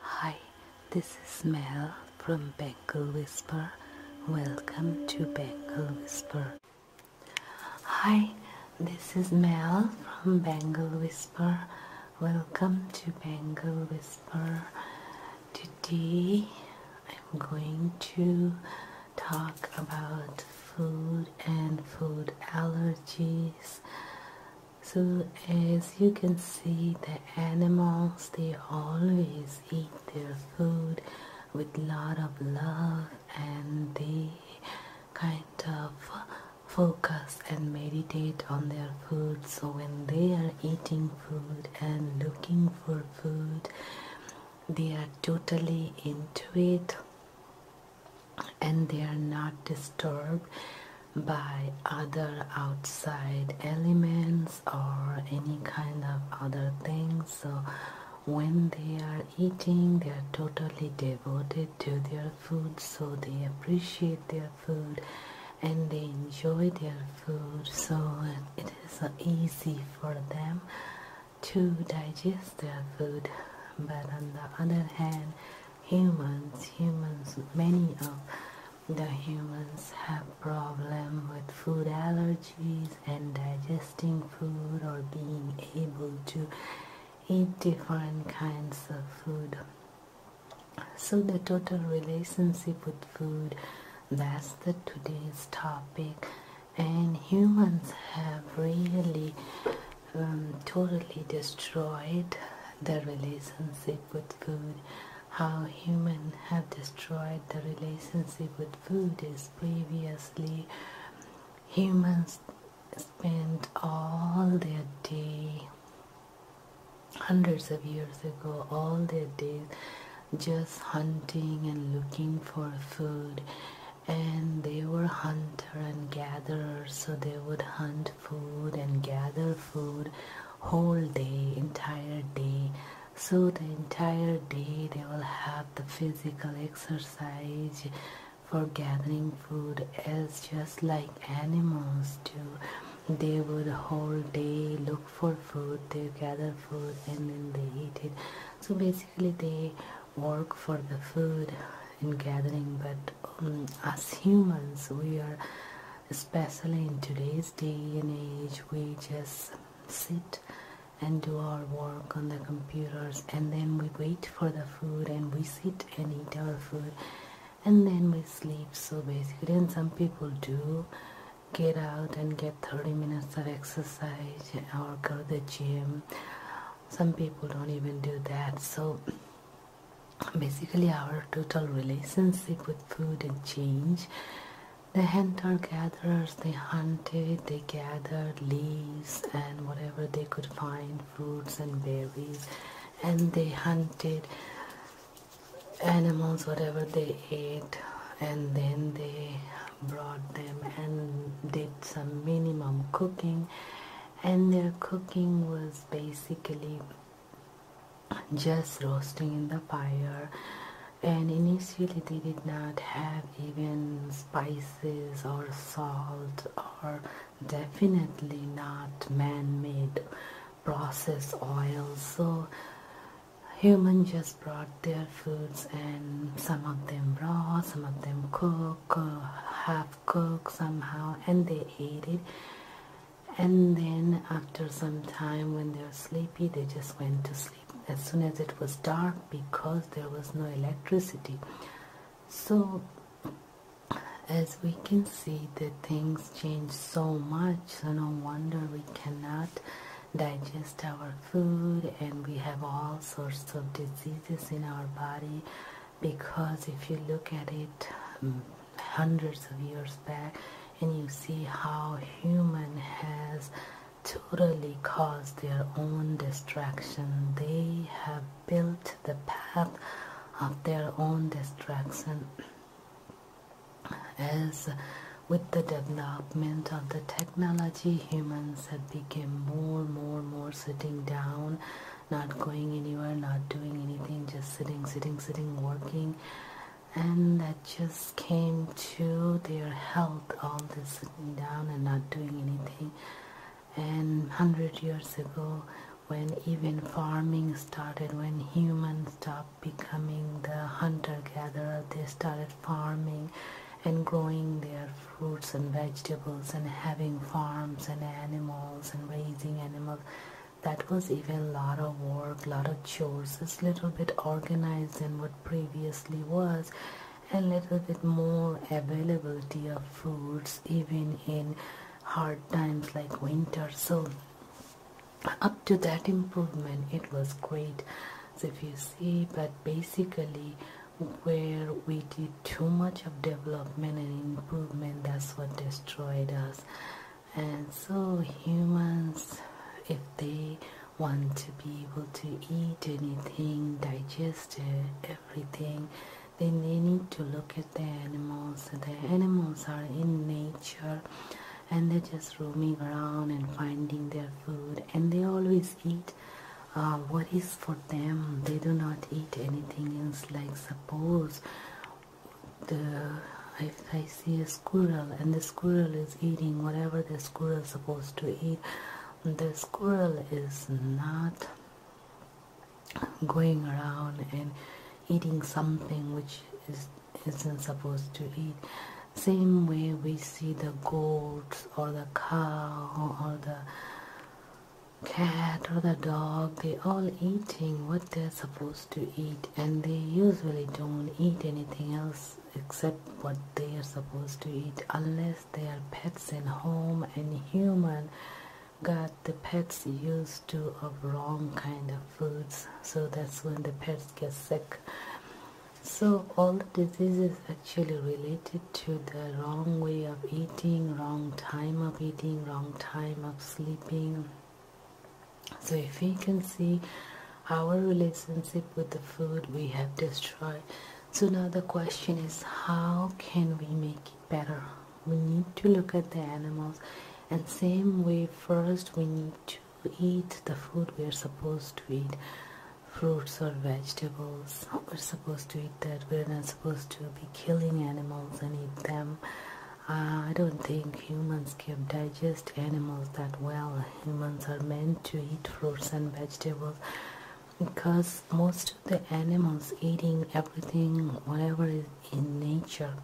Hi, this is Mel from Bengal Whisper. Welcome to Bengal Whisper. Hi, this is Mel from Bengal Whisper. Welcome to Bengal Whisper. Today I'm going to talk about food and food allergies. So as you can see, the animals, they always eat their food with lot of love and they kind of focus and meditate on their food. So when they are eating food and looking for food, they are totally into it and they are not disturbed by other outside elements or any kind of other things so when they are eating they are totally devoted to their food so they appreciate their food and they enjoy their food so it is easy for them to digest their food but on the other hand humans humans many of the humans have problem with food allergies and digesting food or being able to eat different kinds of food so the total relationship with food that's the today's topic and humans have really um, totally destroyed the relationship with food. How humans have destroyed the relationship with food is previously humans spent all their day, hundreds of years ago, all their days just hunting and looking for food and they were hunter and gatherers so they would hunt food and gather food whole day entire day so the entire day they will have the physical exercise for gathering food as just like animals do they would whole day look for food they gather food and then they eat it so basically they work for the food in gathering but um, as humans we are especially in today's day and age we just sit and do our work on the computers and then we wait for the food and we sit and eat our food and then we sleep so basically and some people do get out and get 30 minutes of exercise or go to the gym some people don't even do that so basically our total relationship with food and change the hunter gatherers they hunted they gathered leaves and whatever they could find fruits and berries and they hunted animals whatever they ate and then they brought them and did some minimum cooking and their cooking was basically just roasting in the fire and initially they did not have even spices or salt or definitely not man-made processed oil so human just brought their foods and some of them raw some of them cook uh, half cooked somehow and they ate it and then after some time when they were sleepy they just went to sleep as soon as it was dark because there was no electricity so as we can see the things change so much so no wonder we cannot digest our food and we have all sorts of diseases in our body because if you look at it mm, hundreds of years back and you see how human has totally caused their own destruction they have built the path of their own destruction as with the development of the technology humans friends had become more more more sitting down not going anywhere not doing anything just sitting sitting sitting working and that just came to their health all this sitting down and not doing anything and 100 years ago when even farming started when humans stopped becoming the hunter-gatherer they started farming and growing their fruits and vegetables and having farms and animals and raising animals that was even a lot of work lot of chores it's little bit organized than what previously was and little bit more availability of foods, even in hard times like winter so up to that improvement it was great so if you see but basically where we did too much of development and improvement that's what destroyed us and so humans if they want to be able to eat anything digest everything then they need to look at the animals the animals are in nature and they're just roaming around and finding their food and they always eat uh, what is for them they do not eat anything else like suppose if I see a squirrel and the squirrel is eating whatever the squirrel is supposed to eat the squirrel is not going around and eating something which isn't supposed to eat same way we see the goats or the cow or the cat or the dog, they all eating what they're supposed to eat and they usually don't eat anything else except what they are supposed to eat unless they are pets in home and human got the pets used to of wrong kind of foods so that's when the pets get sick so, all the diseases actually related to the wrong way of eating, wrong time of eating, wrong time of sleeping. So, if we can see our relationship with the food, we have destroyed. So, now the question is how can we make it better? We need to look at the animals, and same way, first we need to. We eat the food we are supposed to eat fruits or vegetables we're supposed to eat that we're not supposed to be killing animals and eat them uh, i don't think humans can digest animals that well humans are meant to eat fruits and vegetables because most of the animals eating everything whatever is in nature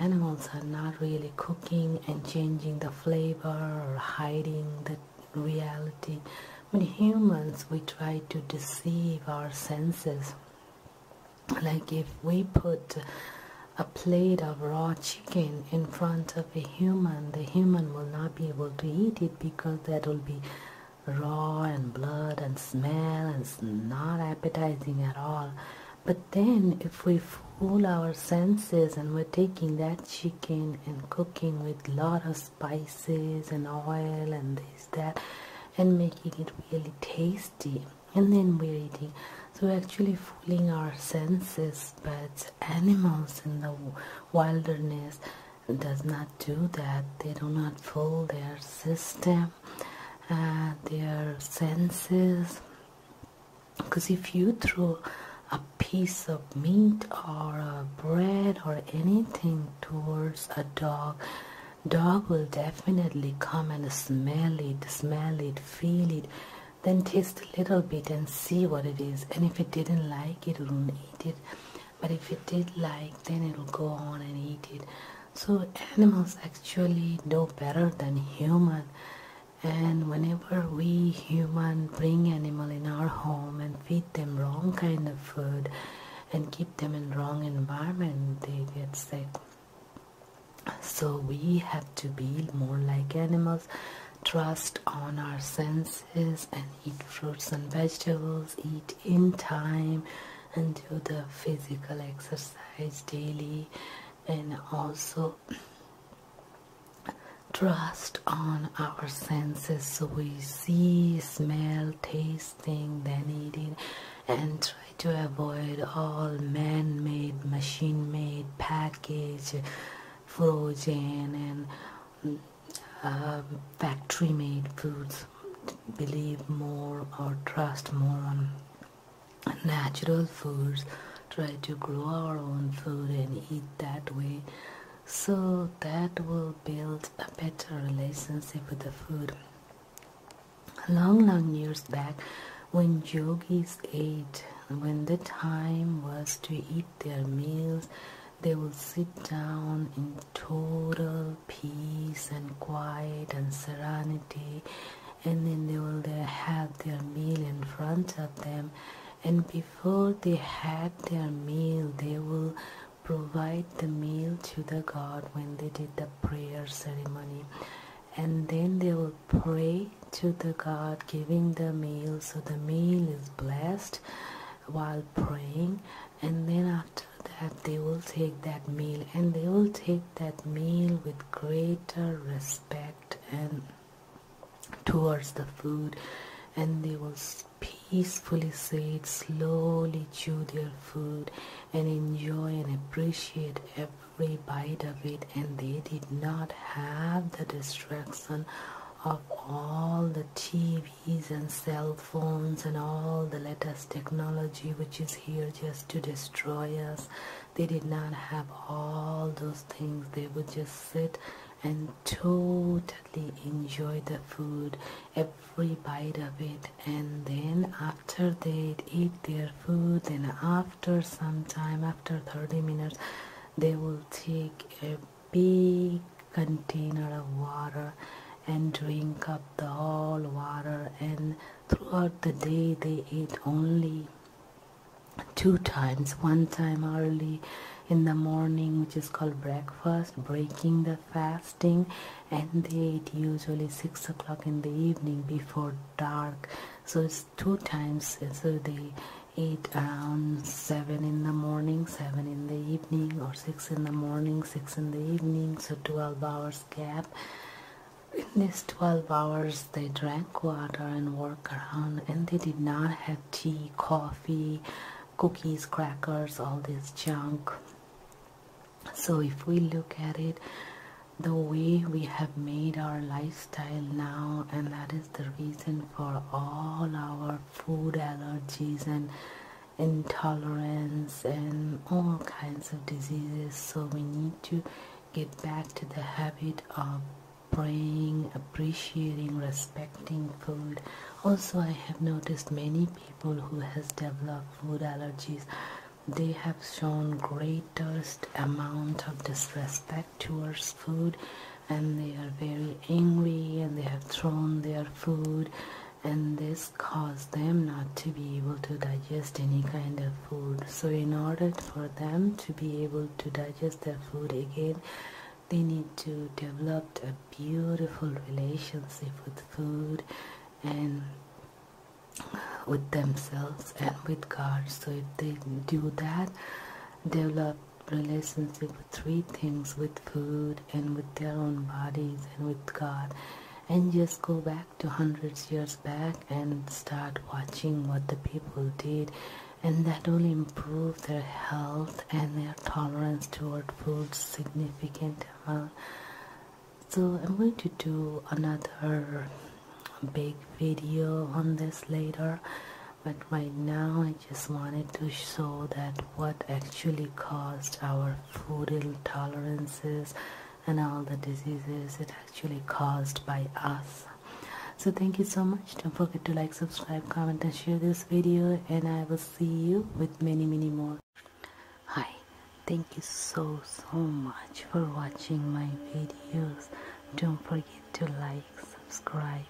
animals are not really cooking and changing the flavor or hiding the reality. I humans, we try to deceive our senses. Like if we put a plate of raw chicken in front of a human, the human will not be able to eat it because that will be raw and blood and smell and it's not appetizing at all. But then, if we fool our senses and we're taking that chicken and cooking with lot of spices and oil and this, that, and making it really tasty, and then we're eating. So we're actually fooling our senses, but animals in the wilderness does not do that. They do not fool their system uh, their senses because if you throw a piece of meat or a bread or anything towards a dog dog will definitely come and smell it smell it feel it then taste a little bit and see what it is and if it didn't like it it won't eat it but if it did like then it'll go on and eat it so animals actually know better than human and whenever we human bring animal in our home and feed them wrong kind of food and keep them in wrong environment they get sick so we have to be more like animals trust on our senses and eat fruits and vegetables eat in time and do the physical exercise daily and also trust on our senses so we see smell taste, tasting then eating and try to avoid all man-made machine-made packaged, frozen and um, factory-made foods believe more or trust more on natural foods try to grow our own food and eat that way so that will build a better relationship with the food long long years back when yogis ate when the time was to eat their meals they would sit down in total peace and quiet and serenity and then they will have their meal in front of them and before they had their meal they will provide the meal to the god when they did the prayer ceremony and then they will pray to the god giving the meal so the meal is blessed while praying and then after that they will take that meal and they will take that meal with greater respect and towards the food and they will peacefully sit slowly chew their food and enjoy and appreciate every bite of it and they did not have the distraction of all the tv and cell phones and all the latest technology which is here just to destroy us. They did not have all those things. They would just sit and totally enjoy the food, every bite of it. And then after they'd eat their food, then after some time, after 30 minutes, they will take a big container of water and drink up the whole water and throughout the day they ate only two times one time early in the morning which is called breakfast breaking the fasting and they ate usually six o'clock in the evening before dark so it's two times so they ate around seven in the morning seven in the evening or 6 in the morning 6 in the evening so 12 hours gap in these 12 hours they drank water and walked around and they did not have tea coffee cookies crackers all this junk so if we look at it the way we have made our lifestyle now and that is the reason for all our food allergies and intolerance and all kinds of diseases so we need to get back to the habit of praying appreciating respecting food also i have noticed many people who has developed food allergies they have shown greatest amount of disrespect towards food and they are very angry and they have thrown their food and this caused them not to be able to digest any kind of food so in order for them to be able to digest their food again they need to develop a beautiful relationship with food and with themselves and with God so if they do that they develop relationship with three things with food and with their own bodies and with God and just go back to hundreds years back and start watching what the people did and that will improve their health and their tolerance toward food significant amount so I'm going to do another big video on this later but right now I just wanted to show that what actually caused our food intolerances and all the diseases it actually caused by us so thank you so much don't forget to like subscribe comment and share this video and I will see you with many many more hi thank you so so much for watching my videos don't forget to like subscribe